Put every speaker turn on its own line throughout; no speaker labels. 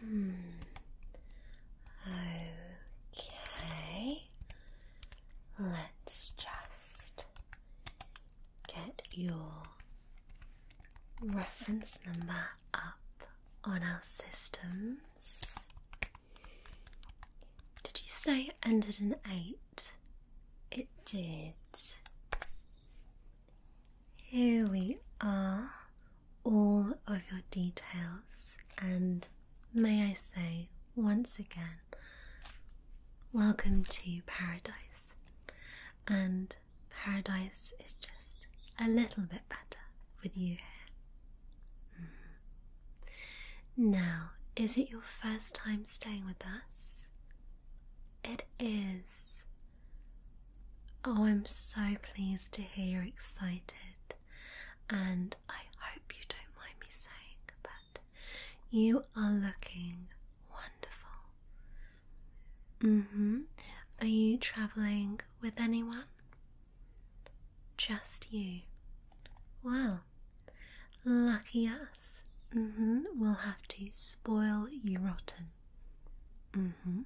Hmm. Okay. Let's just get your reference number up on our systems. Did you say it ended in eight? It did. Here we are, all of your details, and may I say once again, welcome to paradise. And paradise is just a little bit better with you here. Mm-hmm. Now, is it your first time staying with us? It is. Oh, I'm so pleased to hear you're excited, and I hope you don't mind me saying, but you are looking wonderful. hmm. Are you travelling with anyone? Just you. Well, lucky us. hmm. We'll have to spoil you rotten. Mm-hmm.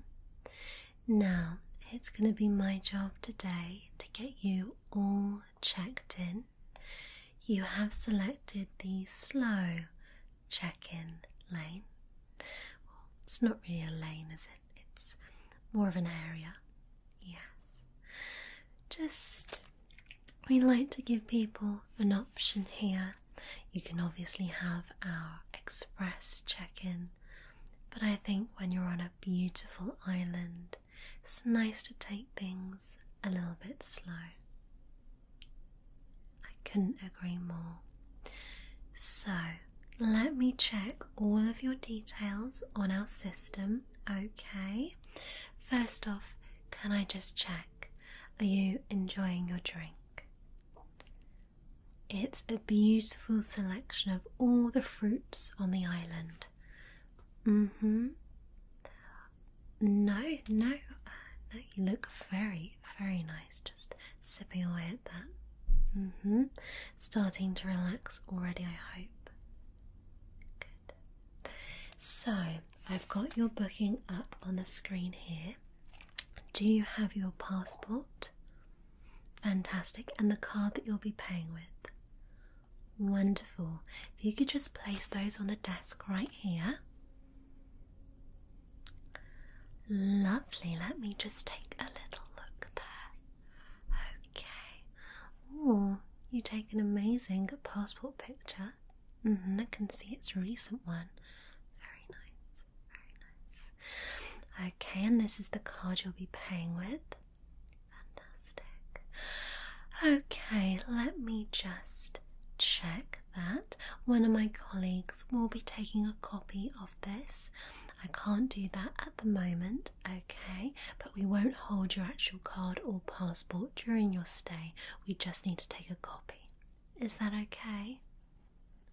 Now it's going to be my job today to get you all checked in. You have selected the slow check-in lane. it's not really a lane, is it? It's more of an area. Yes. Just we like to give people an option here you can obviously have our express check in, but I think when you're on a beautiful island, it's nice to take things a little bit slow. I couldn't agree more. So, let me check all of your details on our system, okay? First off, can I just check? Are you enjoying your drink? It's a beautiful selection of all the fruits on the island. Mm hmm. No, no, uh, no, you look very, very nice just sipping away at that. Mm hmm. Starting to relax already, I hope. Good. So, I've got your booking up on the screen here. Do you have your passport? Fantastic. And the card that you'll be paying with? Wonderful. If you could just place those on the desk right here. Lovely. Let me just take a little look there. Okay. Oh, you take an amazing passport picture. Mm-hmm, I can see it's a recent one. Very nice. Very Okay, and this is the card you'll be paying with. Fantastic. Okay, let me just check that. One of my colleagues will be taking a copy of this. I can't do that at the moment, okay, but we won't hold your actual card or passport during your stay. We just need to take a copy. Is that okay?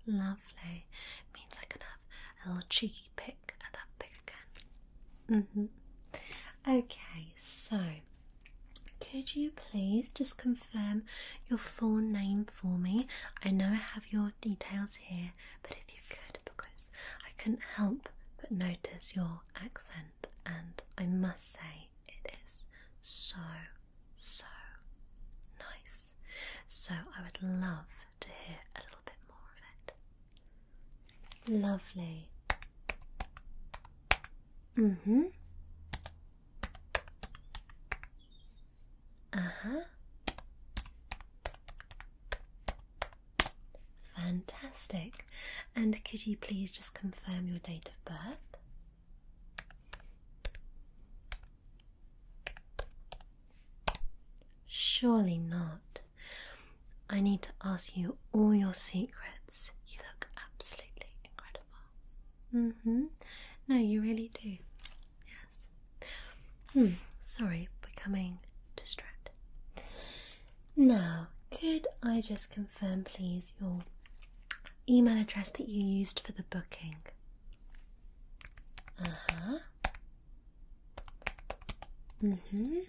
Lovely. Means I can have a little cheeky pick at that pick again. Mm -hmm. Okay, so could you please just confirm your full name for me? I know I have your details here, but if you could, because I couldn't help but notice your accent, and I must say it is so so nice. So I would love to hear a little bit more of it. Lovely. Mm hmm. Uh huh. Fantastic. And could you please just confirm your date of birth? Surely not. I need to ask you all your secrets. You look absolutely incredible. Mm hmm. No, you really do. Yes. Hmm. Sorry, becoming distracted. Now, could I just confirm, please, your email address that you used for the booking? Uh-huh. hmm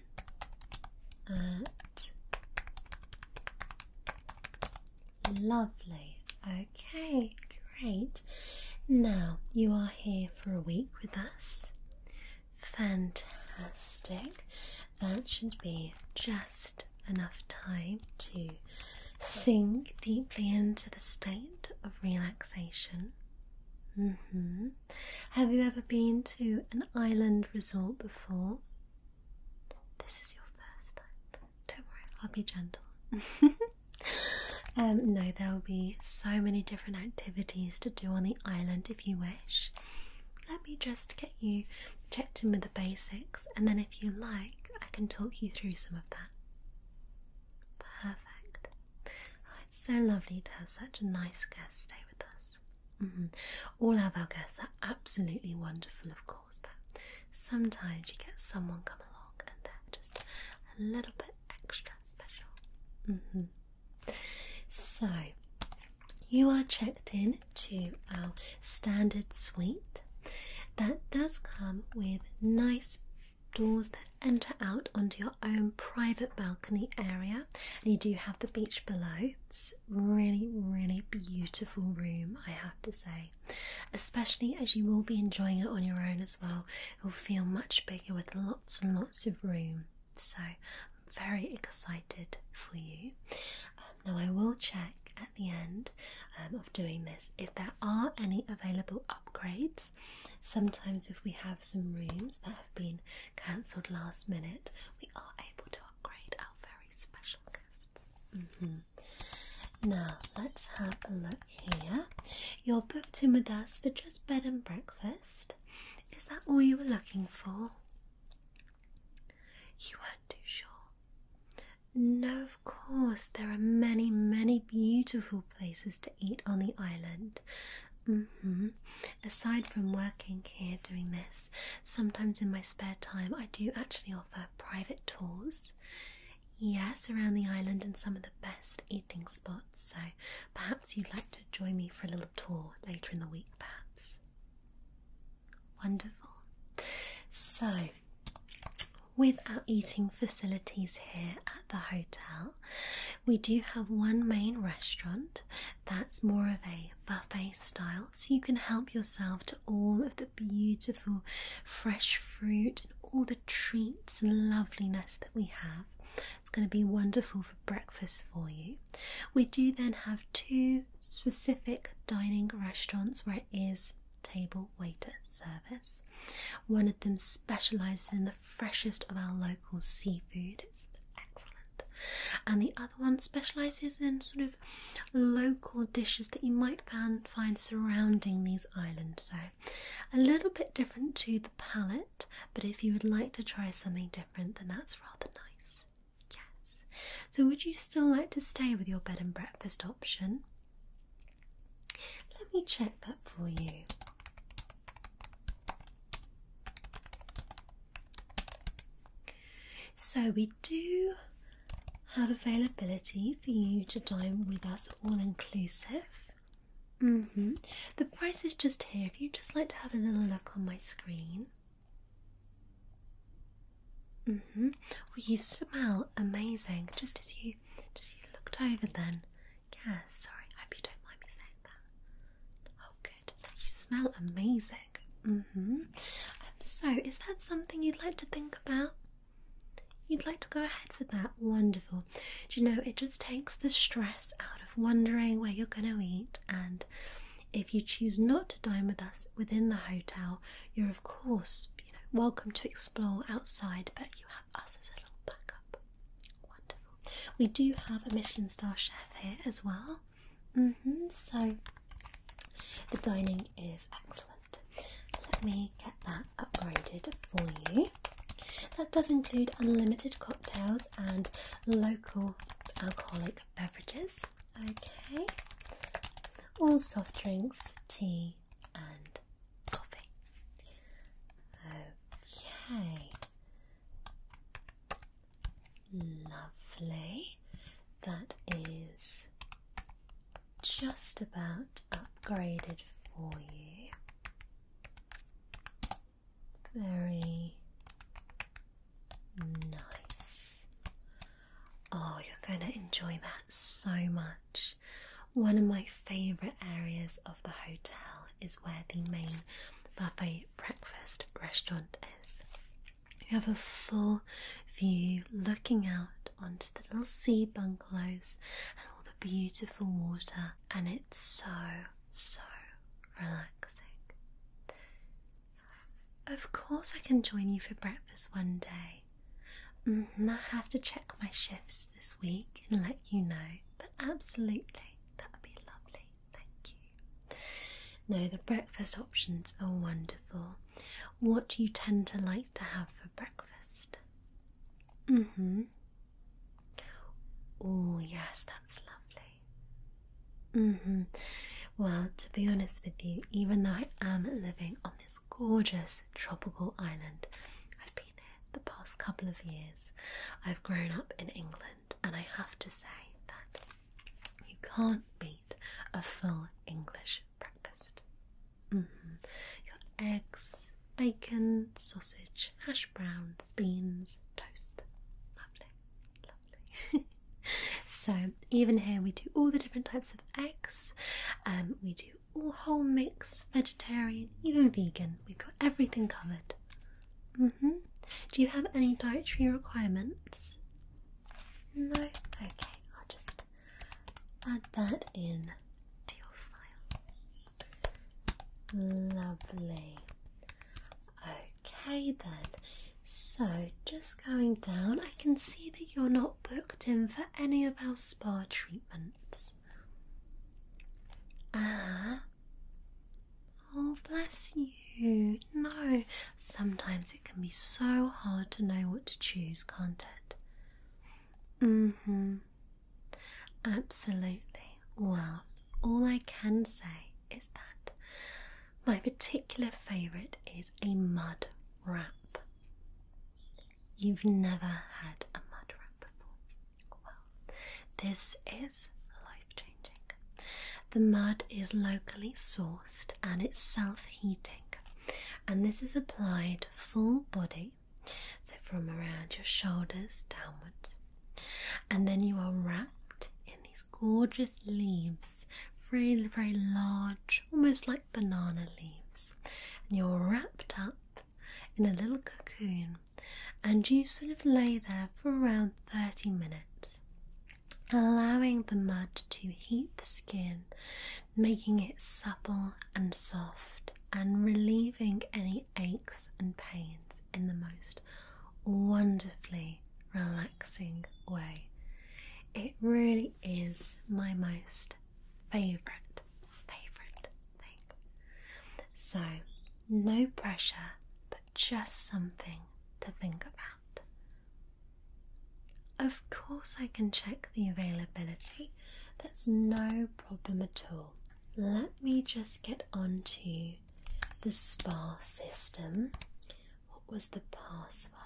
At lovely. Okay, great. Now you are here for a week with us. Fantastic. That should be just enough time to sink deeply into the state of relaxation. Mm-hmm. Have you ever been to an island resort before? This is your first time. Don't worry, I'll be gentle. Um, no, there will be so many different activities to do on the island if you wish. Let me just get you checked in with the basics, and then if you like, I can talk you through some of that. Perfect. Oh, it's so lovely to have such a nice guest stay with us. Mm-hmm. All of our guests are absolutely wonderful, of course, but sometimes you get someone come along and they're just a little bit extra special. Mm-hmm. So, you are checked in to our standard suite that does come with nice doors that enter out onto your own private balcony area and you do have the beach below it's really really beautiful room i have to say especially as you will be enjoying it on your own as well it'll feel much bigger with lots and lots of room so i'm very excited for you um, now i will check the end um, of doing this if there are any available upgrades. Sometimes, if we have some rooms that have been cancelled last minute, we are able to upgrade our very special guests. Mm-hmm. Now, let's have a look here. You're booked in with us for just bed and breakfast. Is that all you were looking for? You weren't too sure? No of course, there are many, many beautiful places to eat on the island. Mm-hmm. Aside from working here doing this, sometimes in my spare time I do actually offer private tours. Yes, around the island and some of the best eating spots, so perhaps you'd like to join me for a little tour later in the week, perhaps. Wonderful. So, with our eating facilities here at the hotel, we do have one main restaurant that's more of a buffet style, so you can help yourself to all of the beautiful fresh fruit and all the treats and loveliness that we have. It's going to be wonderful for breakfast for you. We do then have two specific dining restaurants where it is table waiter service. One of them specialises in the freshest of our local seafood. It's excellent. And the other one specialises in sort of local dishes that you might find surrounding these islands. So a little bit different to the palate. but if you would like to try something different, then that's rather nice. Yes. So, would you still like to stay with your bed and breakfast option? Let me check that for you. So, we do have availability for you to dine with us all inclusive. Mm-hmm. The price is just here. If you'd just like to have a little look on my screen, hmm Well, you smell amazing. Just as you, just as you looked over, then. Yeah. Sorry. I hope you don't mind me saying that. Oh, good. You smell amazing. hmm so, is that something you'd like to think about? You'd like to go ahead with that? Wonderful. Do you know it just takes the stress out of wondering where you're going to eat? And if you choose not to dine with us within the hotel, you're of course you know welcome to explore outside, but you have us as a little backup. Wonderful. We do have a Michelin star chef here as well. Mm -hmm. So the dining is excellent. Let me get that upgraded for you. That does include unlimited cocktails and local alcoholic beverages. Okay. All soft drinks, tea and coffee. Okay. Lovely. That is just about upgraded for you. Very Nice. Oh, you're going to enjoy that so much. One of my favourite areas of the hotel is where the main buffet breakfast restaurant is. You have a full view looking out onto the little sea bungalows and all the beautiful water, and it's so, so relaxing. Of course, I can join you for breakfast one day. Mm, I have to check my shifts this week and let you know, but absolutely, that would be lovely. Thank you. No, the breakfast options are wonderful. What you tend to like to have for breakfast? Mm hmm. Oh, yes, that's lovely. Mm-hmm. Well, to be honest with you, even though I am living on this gorgeous tropical island, I've been here the past couple of years. I've grown up in England, and I have to say that you can't beat a full English breakfast. Mm-hmm. Your eggs, bacon, sausage, hash browns, beans, toast. Lovely, lovely. so even here we do all the different types of eggs. Um, we do all whole mix, vegetarian, even vegan. We've got everything covered. Mm-hmm. Do you have any dietary requirements? No. Okay, I'll just add that in to your file. Lovely. Okay then. So, just going down, I can see that you're not booked in for any of our spa treatments. Ah. Oh, bless you. No, sometimes it can be so hard to know what to choose, can't it? Mm hmm. Absolutely. Well, all I can say is that my particular favourite is a mud wrap. You've never had a mud wrap before. Well, this is life changing. The mud is locally sourced and it's self heating, and this is applied full body, so from around your shoulders downwards, and then you are wrapped in these gorgeous leaves, very, very large, almost like banana leaves. And you're wrapped up in a little cocoon, and you sort of lay there for around 30 minutes, allowing the mud to heat the skin, making it supple and soft, and relieving any aches and pains in the most wonderfully relaxing way. It really is my most favorite, favorite thing. So, no pressure, but just something to think about. Of course, I can check the availability, that's no problem at all. Let me just get onto the spa system what was the password?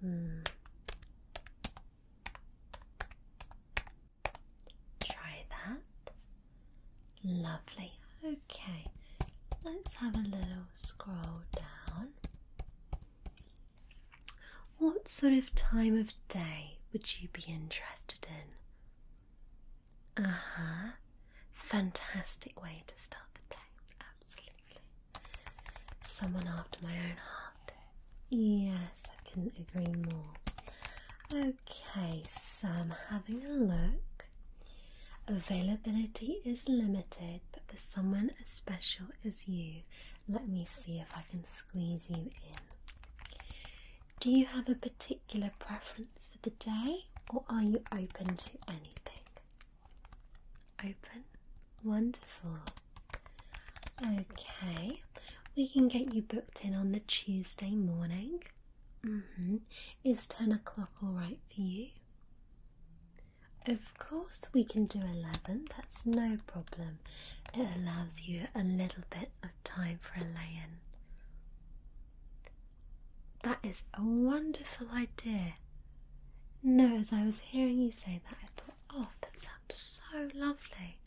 Hmm. Try that. Lovely. Okay, let's have a little scroll down. What sort of time of day would you be interested in? Uh huh. It's a fantastic way to start the day absolutely. Someone after my own heart. Yes, I couldn't agree more. Okay, so I'm having a look. Availability is limited, but for someone as special as you, let me see if I can squeeze you in. Do you have a particular preference for the day, or are you open to anything? Open. Wonderful. Okay, we can get you booked in on the Tuesday morning. Mm-hmm. Is 10 o'clock alright for you? Of course, we can do 11, that's no problem. It allows you a little bit of time for a lay in. That is a wonderful idea. No, as I was hearing you say that, I thought, oh, that sounds so lovely.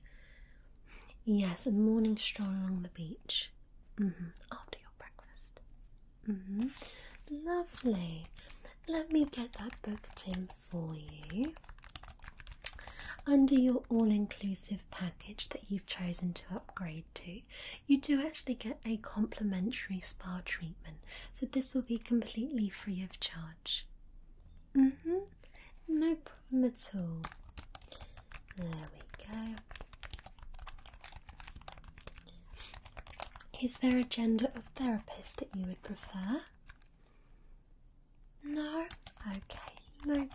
Yes, a morning stroll along the beach -hmm. after your breakfast. -hmm. Lovely. Let me get that booked in for you. Under your all inclusive package that you've chosen to upgrade to, you do actually get a complimentary spa treatment, so this will be completely free of charge. Mm hmm, no problem at all. There we go. Is there a gender of therapist that you would prefer? No? Okay, no problem.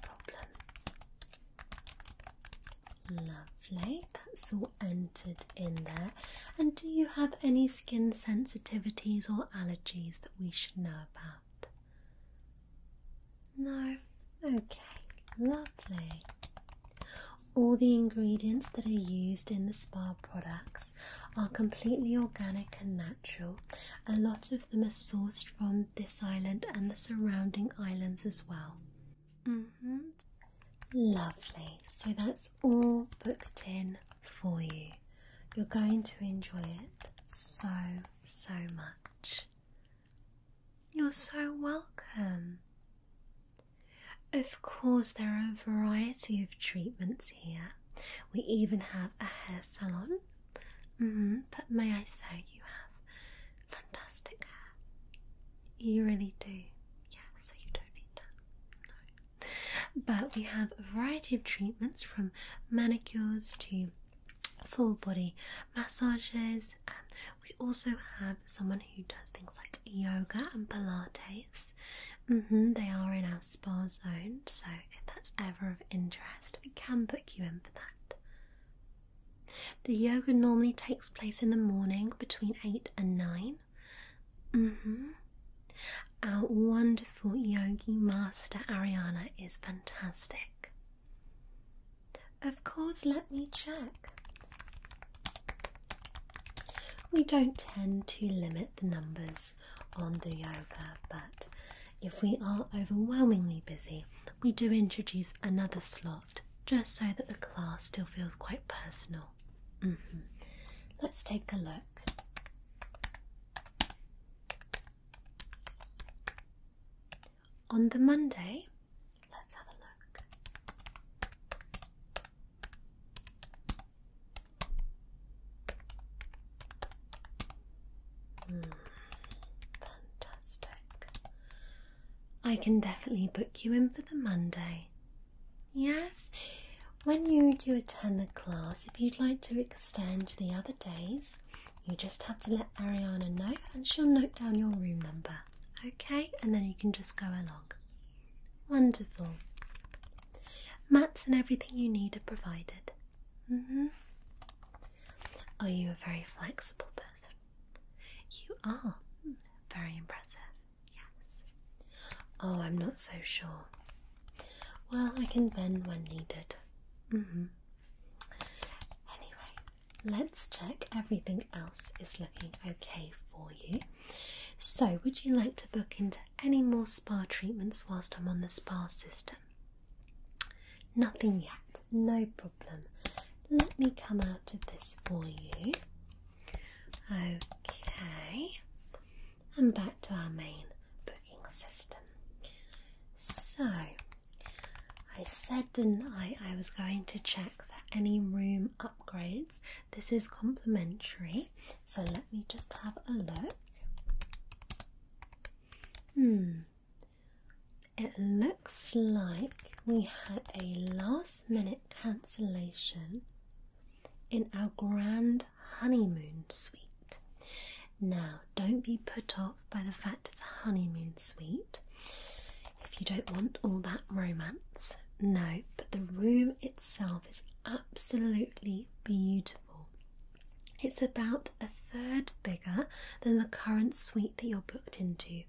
Lovely, that's all entered in there. And do you have any skin sensitivities or allergies that we should know about? No? Okay, lovely. All the ingredients that are used in the spa products are completely organic and natural. A lot of them are sourced from this island and the surrounding islands as well. -hmm. Lovely. So that's all booked in for you. You're going to enjoy it so, so much. You're so welcome. Of course, there are a variety of treatments here. We even have a hair salon. -hmm. But may I say, you have fantastic hair. You really do. Yeah, so you don't need that. No. But we have a variety of treatments from manicures to full body massages. Um, we also have someone who does things like yoga and Pilates. Mm-hmm, they are in our spa zone, so if that's ever of interest, we can book you in for that. The yoga normally takes place in the morning between 8 and 9. Mm-hmm. Our wonderful yogi master Ariana is fantastic. Of course, let me check. We don't tend to limit the numbers on the yoga, but if we are overwhelmingly busy, we do introduce another slot just so that the class still feels quite personal. Mm-hmm. Let's take a look. On the Monday, let's have a look. Hmm. fantastic. I can definitely book you in for the Monday. Yes, when you do attend the class, if you'd like to extend to the other days, you just have to let Ariana know and she'll note down your room number, okay? And then you can just go along. Wonderful. Mats and everything you need are provided. Mm hmm Are oh, you a very flexible person? You are very impressive, yes. Oh, I'm not so sure. Well, I can bend when needed. Mm hmm. Anyway, let's check everything else is looking okay for you. So, would you like to book into any more spa treatments whilst I'm on the spa system? Nothing yet no problem. Let me come out of this for you. Okay, and back to our main booking system. So, I said, did I? I was going to check for any room upgrades. This is complimentary, so let me just have a look. Hmm, it looks like we had a last minute cancellation in our grand honeymoon suite. Now, don't be put off by the fact it's a honeymoon suite if you don't want all that romance. No, but the room itself is absolutely beautiful. It's about a third bigger than the current suite that you're booked into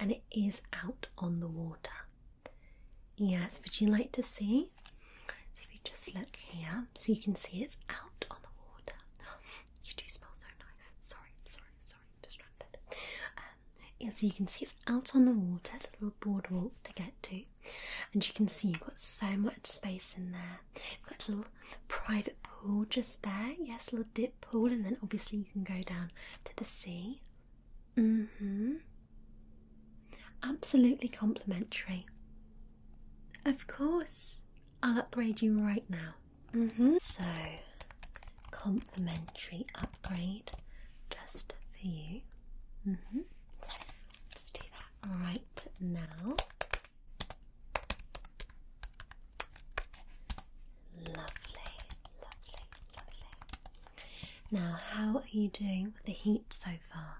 and it is out on the water. Yes, would you like to see? So if you just look here, so you can see it's out on the water. You do smell so nice. Sorry, sorry, sorry, distracted. Um, so you can see it's out on the water, little boardwalk to get to, and you can see you've got so much space in there. You've got a little private pool just there. Yes, little dip pool, and then obviously you can go down to the sea. Mm-hmm. Absolutely complimentary. Of course, I'll upgrade you right now. Mm-hmm. So, complimentary upgrade just for you. Mm Just do that right now. Lovely, lovely, lovely. Now, how are you doing with the heat so far?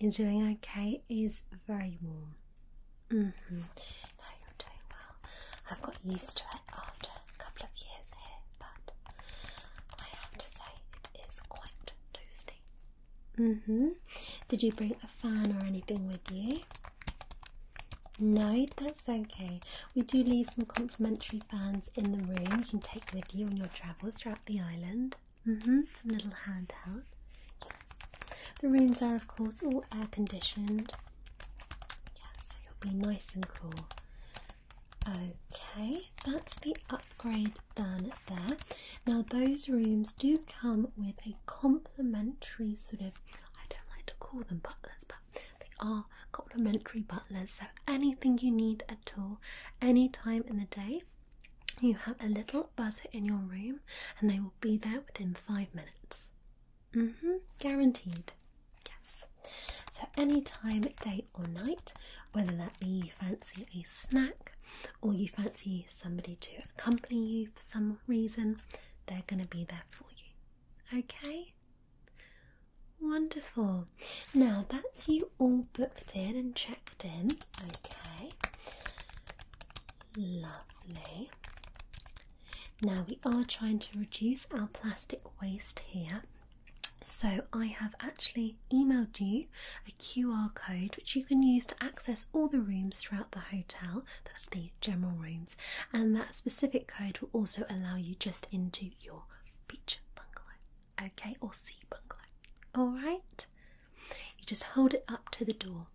Enjoying. okay. is very warm. Mm-hmm. no, you're doing well. I've got used to it after a couple of years here, but I have to say it is quite toasty. Mhm. Did you bring a fan or anything with you? No, that's okay. We do leave some complimentary fans in the room you can take with you on your travels throughout the island. Mm-hmm. Some little handout. Yes. The rooms are, of course, all air conditioned. Yes, so you'll be nice and cool. Okay, that's the upgrade done there. Now, those rooms do come with a complimentary sort of, I don't like to call them, but let's they are complimentary butlers. So anything you need at all, any time in the day, you have a little buzzer in your room, and they will be there within five minutes. Mm-hmm, guaranteed. Yes. So any time, day or night, whether that be you fancy a snack or you fancy somebody to accompany you for some reason, they're going to be there for you. Okay? Wonderful. Now that's you all booked in and checked in. Okay. Lovely. Now we are trying to reduce our plastic waste here. So I have actually emailed you a QR code which you can use to access all the rooms throughout the hotel. That's the general rooms, and that specific code will also allow you just into your beach bungalow, okay, or sea bungalow. All right, you just hold it up to the door.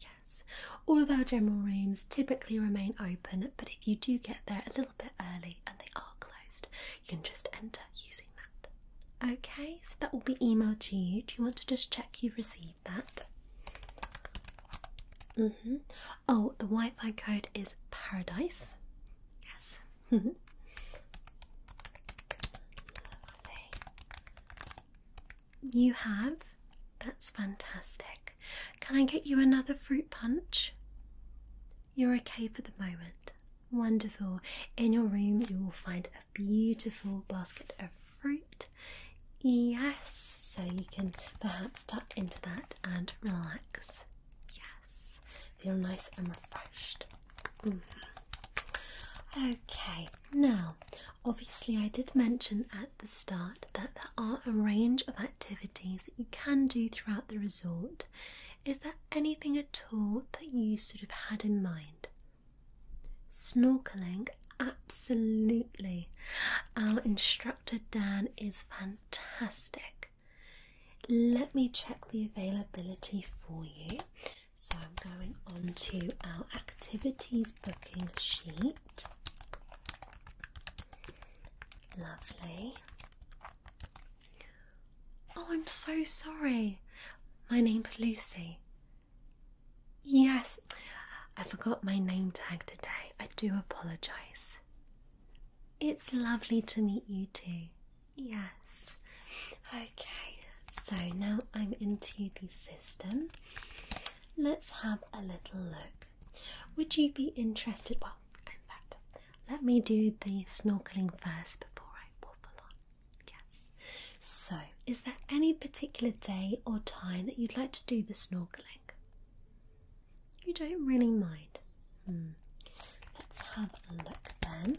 Yes, all of our general rooms typically remain open, but if you do get there a little bit early and they are closed, you can just enter using that. Okay, so that will be emailed to you. Do you want to just check you've received that. Mm-hmm. Oh, the Wi Fi code is Paradise. Yes. Lovely. You have? That's fantastic. Can I get you another fruit punch? You're okay for the moment. Wonderful. In your room, you will find a beautiful basket of fruit. Yes, so you can perhaps tuck into that and relax. Yes, feel nice and refreshed. Mm-hmm. Okay, now obviously, I did mention at the start that there are a range of activities that you can do throughout the resort. Is there anything at all that you sort of had in mind? Snorkeling Absolutely. Our instructor Dan is fantastic. Let me check the availability for you. So I'm going on to our activities booking sheet. Lovely. Oh, I'm so sorry. My name's Lucy. Yes, I forgot my name tag today. I do apologise. It's lovely to meet you too. Yes. Okay, so now I'm into the system. Let's have a little look. Would you be interested? Well, in fact, let me do the snorkeling first before I waffle on. Yes. So, is there any particular day or time that you'd like to do the snorkeling? You don't really mind. Hmm. Let's have a look then.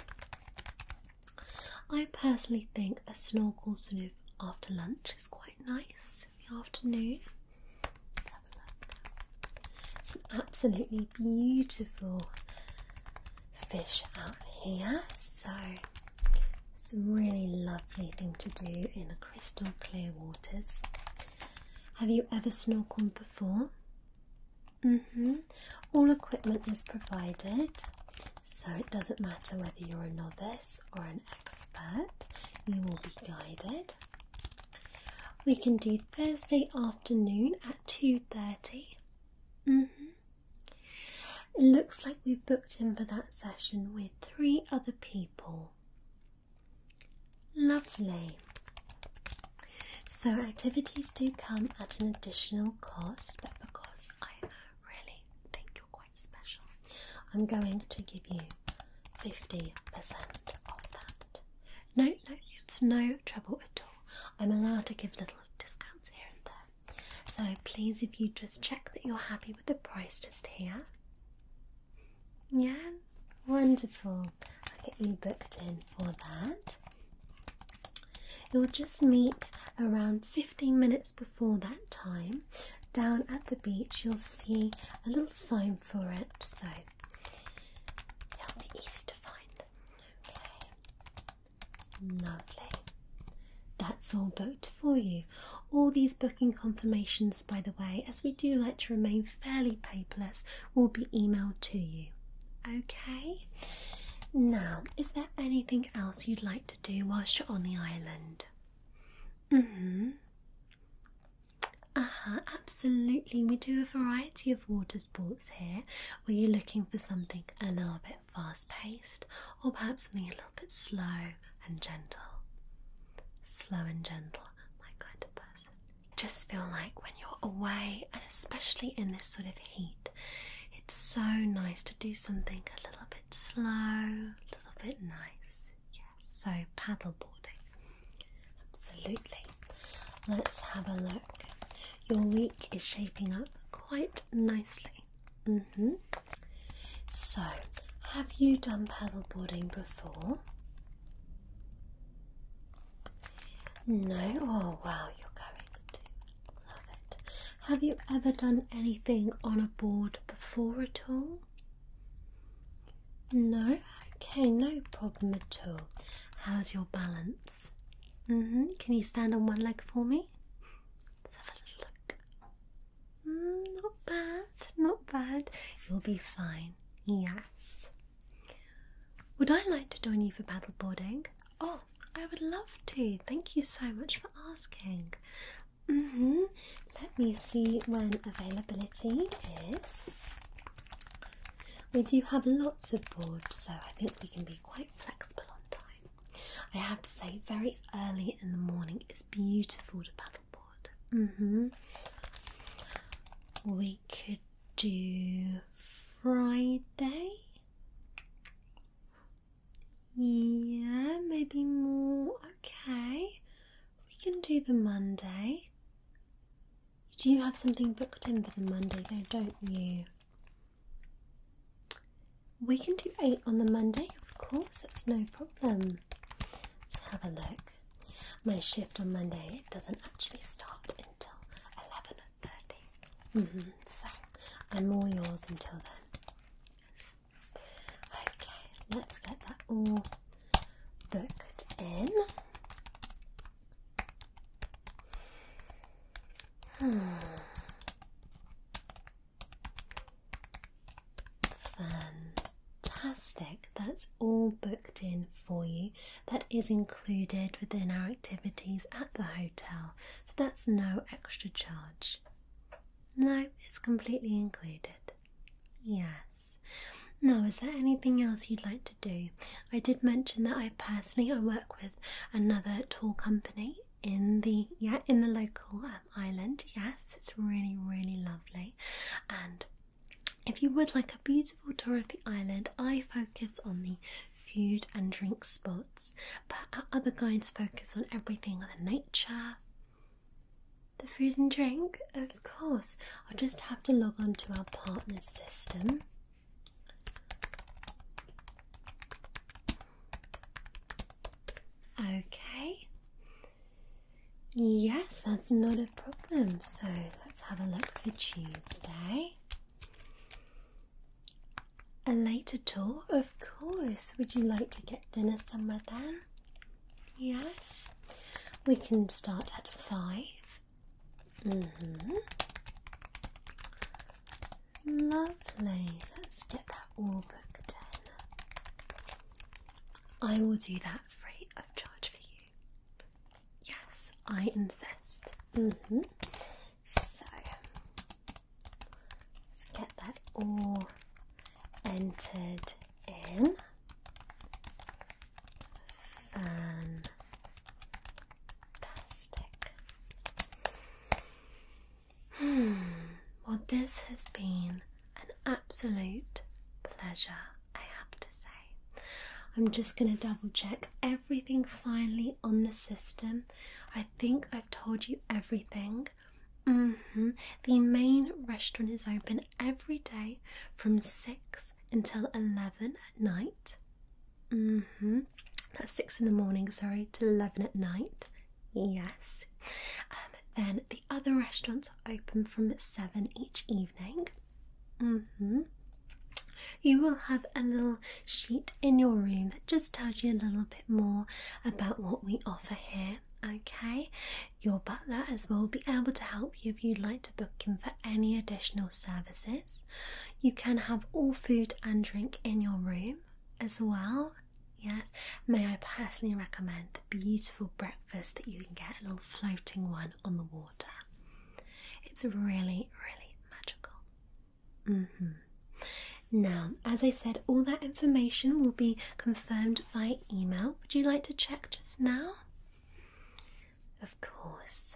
I personally think a snorkel snoop after lunch is quite nice in the afternoon. Some absolutely beautiful fish out here. So it's a really lovely thing to do in the crystal clear waters. Have you ever snorkeled before? hmm. All equipment is provided, so it doesn't matter whether you're a novice or an expert, you will be guided. We can do Thursday afternoon at 2.30. hmm. It looks like we've booked in for that session with three other people. Lovely. So, activities do come at an additional cost, but because I really think you're quite special, I'm going to give you 50% of that. No, no, it's no trouble at all. I'm allowed to give little discounts here and there. So, please, if you just check that you're happy with the price just here. Yeah, wonderful. I'll get you booked in for that. You'll just meet around 15 minutes before that time. Down at the beach, you'll see a little sign for it, so it'll be easy to find. Okay, lovely that's all booked for you. All these booking confirmations, by the way, as we do like to remain fairly paperless, will be emailed to you. Okay? Now, is there anything else you'd like to do whilst you're on the island? Mm hmm. Uh huh, absolutely. We do a variety of water sports here. Were you looking for something a little bit fast paced or perhaps something a little bit slow and gentle. Slow and gentle, my kind of person. just feel like when you're away, and especially in this sort of heat, it's so nice to do something a little bit slow, a little bit nice. Yes, so paddleboarding. Absolutely. Let's have a look. Your week is shaping up quite nicely. -hmm. So, have you done paddleboarding before? No? Oh wow, you're going to love it. Have you ever done anything on a board before at all? No? Okay, no problem at all. How's your balance? Mm-hmm. Can you stand on one leg for me? Let's have a look. Mm, not bad, not bad. You'll be fine. Yes. Would I like to join you for paddleboarding? Oh, I would love to. Thank you so much for asking. Mm-hmm. Let me see when availability is. We do have lots of boards, so I think we can be quite flexible on time. I have to say, very early in the morning is beautiful to paddleboard. mm We could do Friday. Yeah, maybe more. Okay, we can do the Monday. Do you have something booked in for the Monday though, don't you? We can do eight on the Monday, of course, that's no problem. Let's have a look. My shift on Monday doesn't actually start until eleven thirty. Mm-hmm. So I'm all yours until then. Okay, let's get that all booked in. Hmm. Fantastic. That's all booked in for you. That is included within our activities at the hotel, so that's no extra charge. No, it's completely included. Yes. Now, is there anything else you'd like to do? I did mention that I personally I work with another tour company in the yeah in the local um, island. Yes, it's really really lovely. And if you would like a beautiful tour of the island, I focus on the food and drink spots, but our other guides focus on everything the nature, the food and drink. Of course, I'll just have to log on to our partner system. Okay. Yes, that's not a problem. So let's have a look for Tuesday. A later tour, of course. Would you like to get dinner somewhere then? Yes. We can start at five. Mm-hmm. Lovely. Let's get that all booked in. I will do that free of charge for you. Yes, I insist. Mm-hmm. So let's get that all entered in. Fantastic. well, this has been an absolute pleasure, I have to say. I'm just going to double check everything finally on the system. I think I've told you everything. Mm-hmm. The main restaurant is open every day from 6 until 11 at night. Mm-hmm a.m. That's six in the morning, sorry, to eleven at night. Yes. Um, then the other restaurants open from seven each evening. Mm-hmm. You will have a little sheet in your room that just tells you a little bit more about what we offer here. Okay, your butler as well will be able to help you if you'd like to book him for any additional services. You can have all food and drink in your room as well. Yes, may I personally recommend the beautiful breakfast that you can get, a little floating one on the water. It's really, really magical. Mm hmm. Now, as I said, all that information will be confirmed by email. Would you like to check just now? Of course.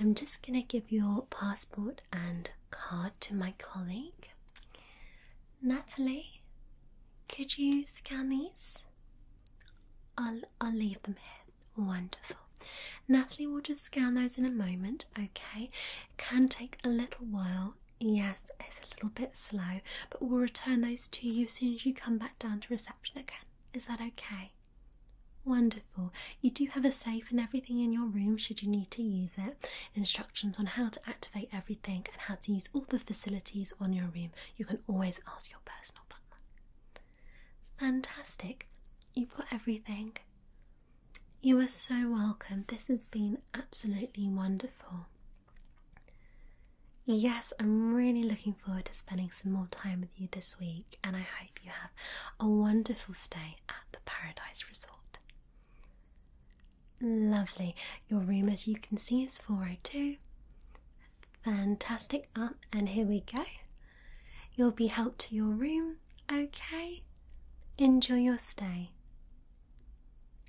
I'm just going to give your passport and card to my colleague. Natalie, could you scan these? I'll, I'll leave them here. Wonderful. Natalie will just scan those in a moment, okay? Can take a little while. Yes, it's a little bit slow, but we'll return those to you as soon as you come back down to reception again. Is that okay? Wonderful. You do have a safe and everything in your room should you need to use it. Instructions on how to activate everything and how to use all the facilities on your room. You can always ask your personal partner. Fantastic. You've got everything. You are so welcome. This has been absolutely wonderful. Yes, I'm really looking forward to spending some more time with you this week, and I hope you have a wonderful stay at the Paradise Resort. Lovely. Your room, as you can see, is 402. Fantastic. Up, and here we go. You'll be helped to your room, okay? Enjoy your stay.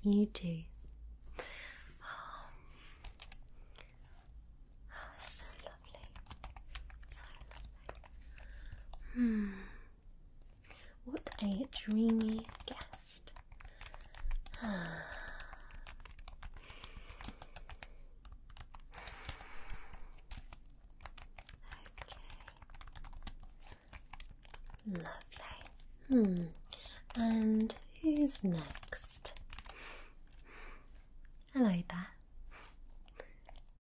You too. Oh, so lovely. So lovely. Hmm. What a dreamy guest. okay. Lovely. Hmm. And who's next? Hello there.